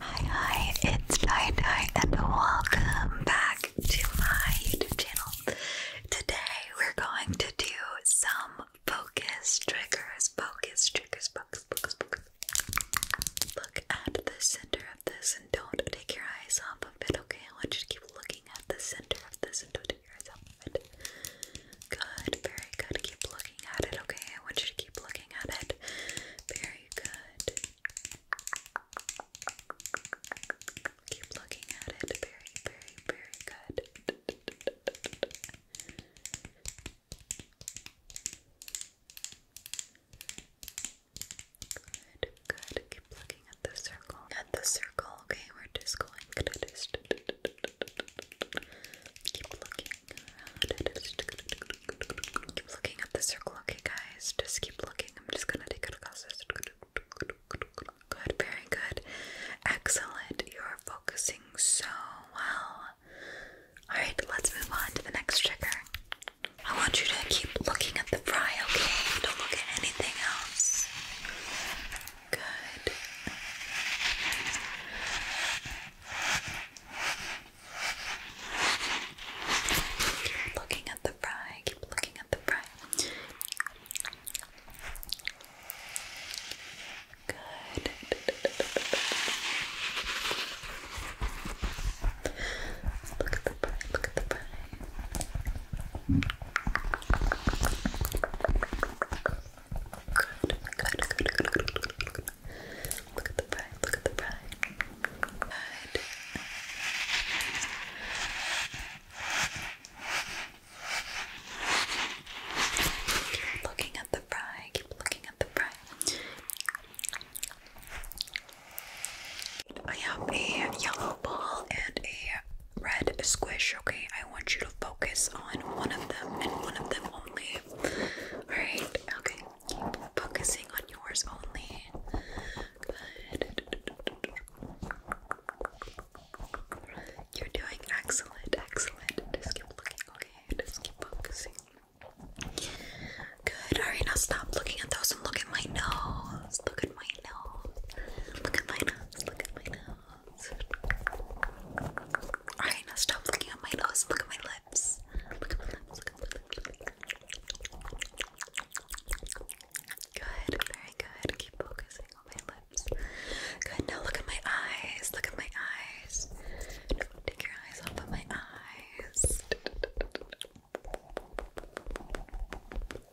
Hi, hi, it's Dai and welcome back to my YouTube channel. Today, we're going to do some focus triggers. Focus triggers, focus, focus, focus. Look at the center of this and don't take your eyes off of it, okay? I want you to keep looking at the center of this and don't take your eyes off of it. Good, very good. Keep looking at it, okay? I want you to keep looking at it. Very good. Keep looking at it. Very, very, very good. Good, good. Keep looking at the circle. At the circle, okay? We're just going to keep looking Keep looking at the circle, okay, guys? Just keep looking. I'm just gonna take it across Good, very good. Excellent. You're focusing so well. Alright, let's move on to the next trigger. I want you to keep looking at the fry, okay? Don't look at anything else. Good looking at the fry, keep looking at the fry. Good. Look at the fry, look at the fry. good, good, good, good. Look at the pride, look at the pride. Good. looking at the fry, keep looking at the fry. I have a yellow ball and a red squish, okay? I want you to focus on one of them and one of them only. Alright, okay. Keep focusing on yours only. Good. You're doing excellent, excellent. Just keep looking, okay? Just keep focusing. Good. Alright, now stop looking at those and look at my nose. Look at my nose. Look at my nose. Look at my nose. Alright, now stop looking at my nose. Look at my lips. Look at my lips. Look at my lips. Good, very good. Keep focusing on my lips. Good, now look at my eyes. Look at my eyes. Don't take your eyes off of my eyes.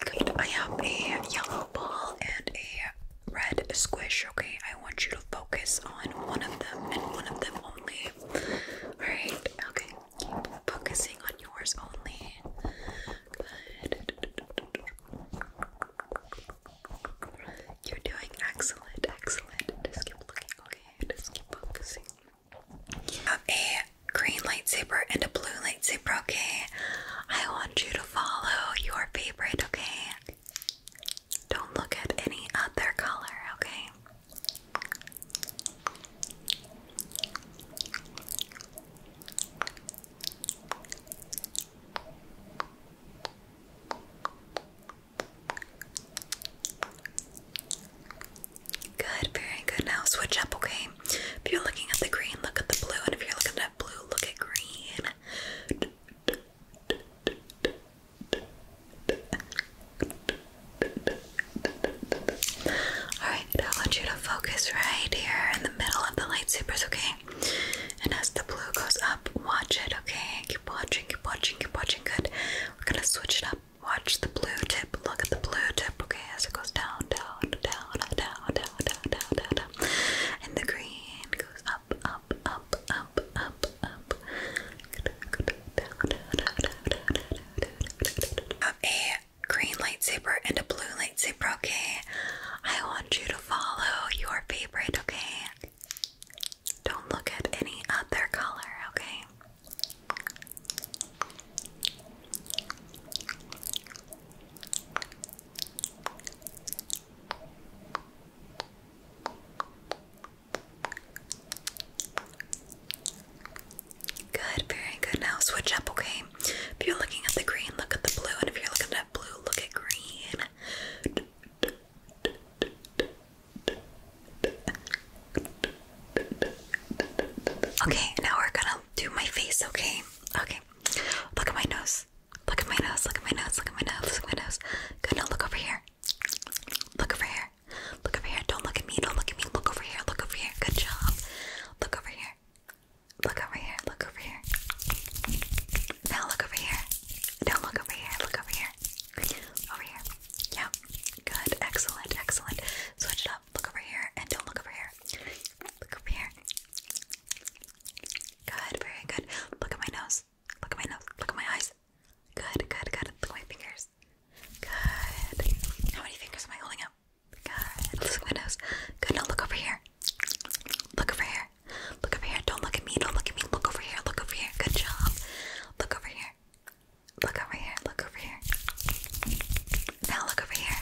Good, I have a yellow ball and a red squish, okay? I want you to focus on one of them and one of them only. Alright, okay. Keep focusing on yours only. Good. You're doing excellent, excellent. Just keep looking, okay? Just keep focusing. You have a green lightsaber and a blue lightsaber, okay? I want you to follow your favorite, okay? Don't look at any other color, okay? Good, very good. Now switch up, okay? If you're looking at the green, look at the blue, and if you're looking at blue, look at green. Alright, I want you to focus right here in the middle of the lightsabers, okay? And as the blue goes up, watch it, okay? Keep watching, keep watching, keep watching. Good. We're gonna switch it up. Watch the blue tip. Look at the blue tip, okay? As it goes down, down, down, down, down, down, down, down, down. And the green goes up, up, up, up, up, up. I have a green lightsaber and a blue lightsaber, okay? I want you to follow your favorite, okay? Don't look at any other color, okay? Good, very good. Now switch up, okay? If you're looking at the green, look at the blue, and if you're looking at blue, look at green. Okay, now we're gonna do my face, okay? Okay, look at my nose. Look at my nose, look at my nose, look at my nose, look at my nose. Good, now look over here. Look over here. Look over here. Don't look at me, don't look at me. Look over here, look over here. Good job. Look over here. Look over here, look over here. Now look over here. Don't look over here, look over here. Over here. Yeah. Good, excellent, excellent. Switch it up. Look over here and don't look over here. Look over here. Good, very good. Look at my nose. Look at my nose. Look at my eyes. Good, good, good. Look at my fingers. Good. How many fingers am I holding up? Good. Look at my nose. Good. Now look over here. Look over here. Look over here. Don't look at me. Don't look at me. Look over here. Look over here. Good job. Look over here. Look over here. Look over here. Now look over here.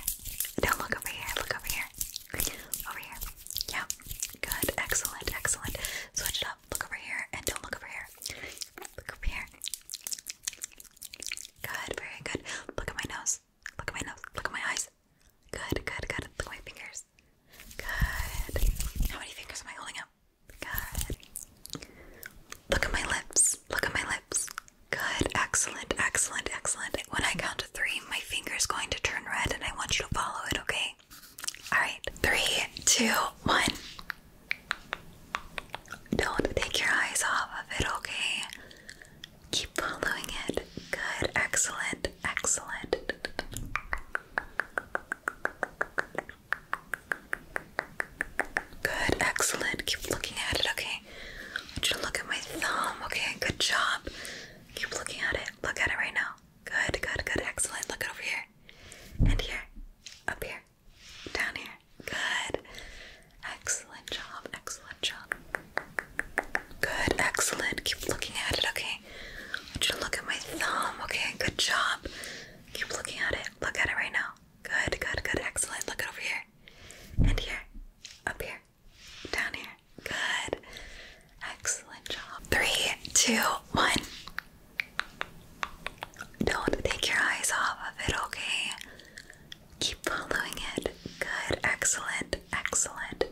Now look over here. Look over here. Over here. Yep. Good. Excellent. Excellent. Switch it up. Look over here and don't look over here. Look over here. Good. Very good. Look at my nose. Look at my nose. Look at my eyes. Good. Good. Good. Look at my fingers. Good. How many fingers am I holding up? Good. Look at my lips. Look at my lips. Good, excellent, excellent, excellent. When I count to three, my finger is going to turn red and I want you to follow it, okay? Alright, three, two, one. Don't take your eyes off of it, okay? Keep following it. Good, excellent, excellent. Good, excellent. Keep looking at it, okay? I you look at my thumb. Okay, good job. Keep looking at it. Look at it right now. Good, good, good. Excellent. Look it over here. And here. Up here. Down here. Good. Excellent job. Excellent job. Good. Excellent. Keep looking at it. Okay. I you look at my thumb. Okay, good job. Keep looking at it. Look at it right now. Good, good, good. Excellent. Look over here. And here. Up here. Down here. Good. Excellent job. Three, two, one. Don't take your eyes off of it, okay? Keep following it. Good. Excellent. Excellent.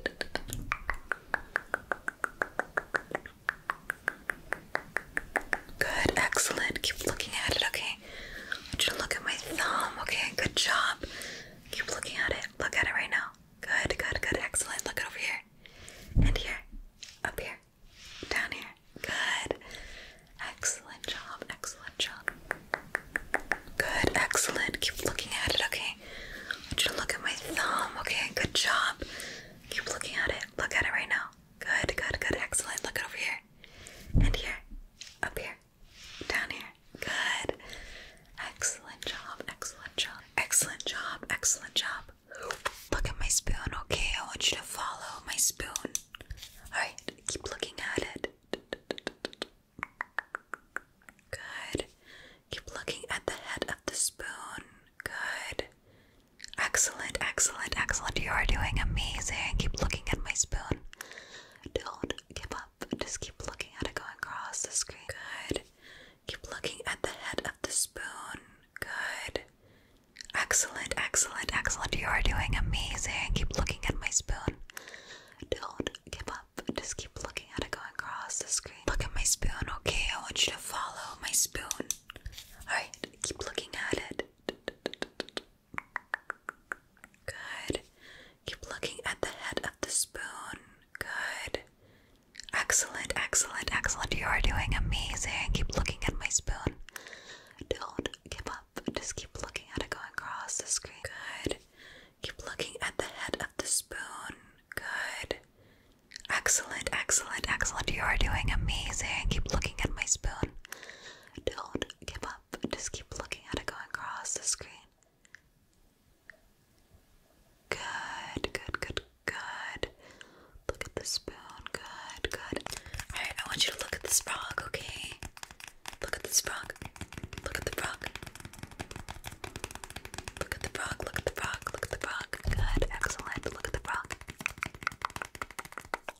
Good. Excellent. Keep looking at it, okay? okay? you look at my thumb, okay? Good job. Keep looking at it. Look at it right now. Good, good, good. Excellent. Look over here. And here. Up here. Down here. Good. Excellent job. Excellent job. Good. Excellent. Keep looking at it, okay? I you look at my thumb, okay? Good job. Keep looking at it. Look at it right now. Good, good, good. Excellent. Look it over here. And here. Up here. Down here. Good. Excellent job. Excellent job. Excellent job. Excellent job. Look at my spoon, okay? I want you to follow my spoon. Alright, keep looking at it. Good. Keep looking at the head of the spoon. Good. Excellent, excellent, excellent. You are doing amazing. Keep looking at my spoon. Don't give up. Just keep looking at it going across the screen. Good. Keep looking at the head of the spoon. Good. Excellent, excellent, excellent. You are doing amazing. Keep looking at my spoon. Don't give up. Just keep looking at it going across the screen. Look at my spoon, okay? I want you to follow my spoon. Alright, keep looking at it. Good. Keep looking at the head of the spoon. Good. Excellent, excellent, excellent. You are doing amazing. Keep looking at my spoon. Don't give up. Just keep looking at it going across the screen. Good. Keep looking at the head of the spoon. Good. Excellent, excellent, excellent. You are doing amazing. Keep looking at my spoon. Don't give up just keep looking at it going across the screen. Good, good, good, good. Look at the spoon. Good, good. Alright, I want you to look at this frog, okay? Look at this frog. Look at the frog. Look at the frog, look at the frog, look at the frog. Good, excellent. Look at the frog.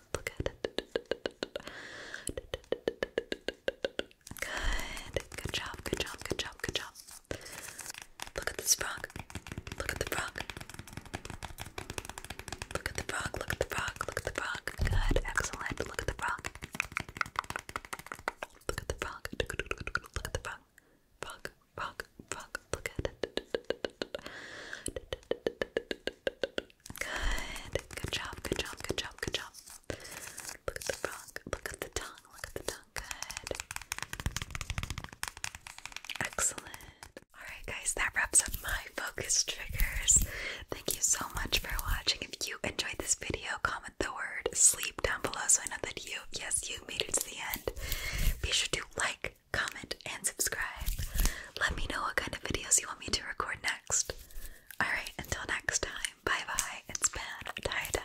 look, look at it. Good, good job, good job, good job, good job. Look at this frog. Look at the frog. Look at the frog, look at the frog, look at the frog. Good, excellent. Look at the frog. Look at the frog. Look at the frog. Frog, frog, frog. Look at it. Good. Good job. Good job. Good job. Good job. Look at the frog. Look at the tongue. Look at the tongue. Good. Excellent. Alright guys, that wraps up my focus triggers. Thank you so much for watching. If you enjoyed this video, comment the word sleep down below so I know that you, yes, you made it to the end. Be sure to like, comment, and subscribe. Let me know what kind of videos you want me to record next. Alright, until next time, bye bye. It's been tie dye.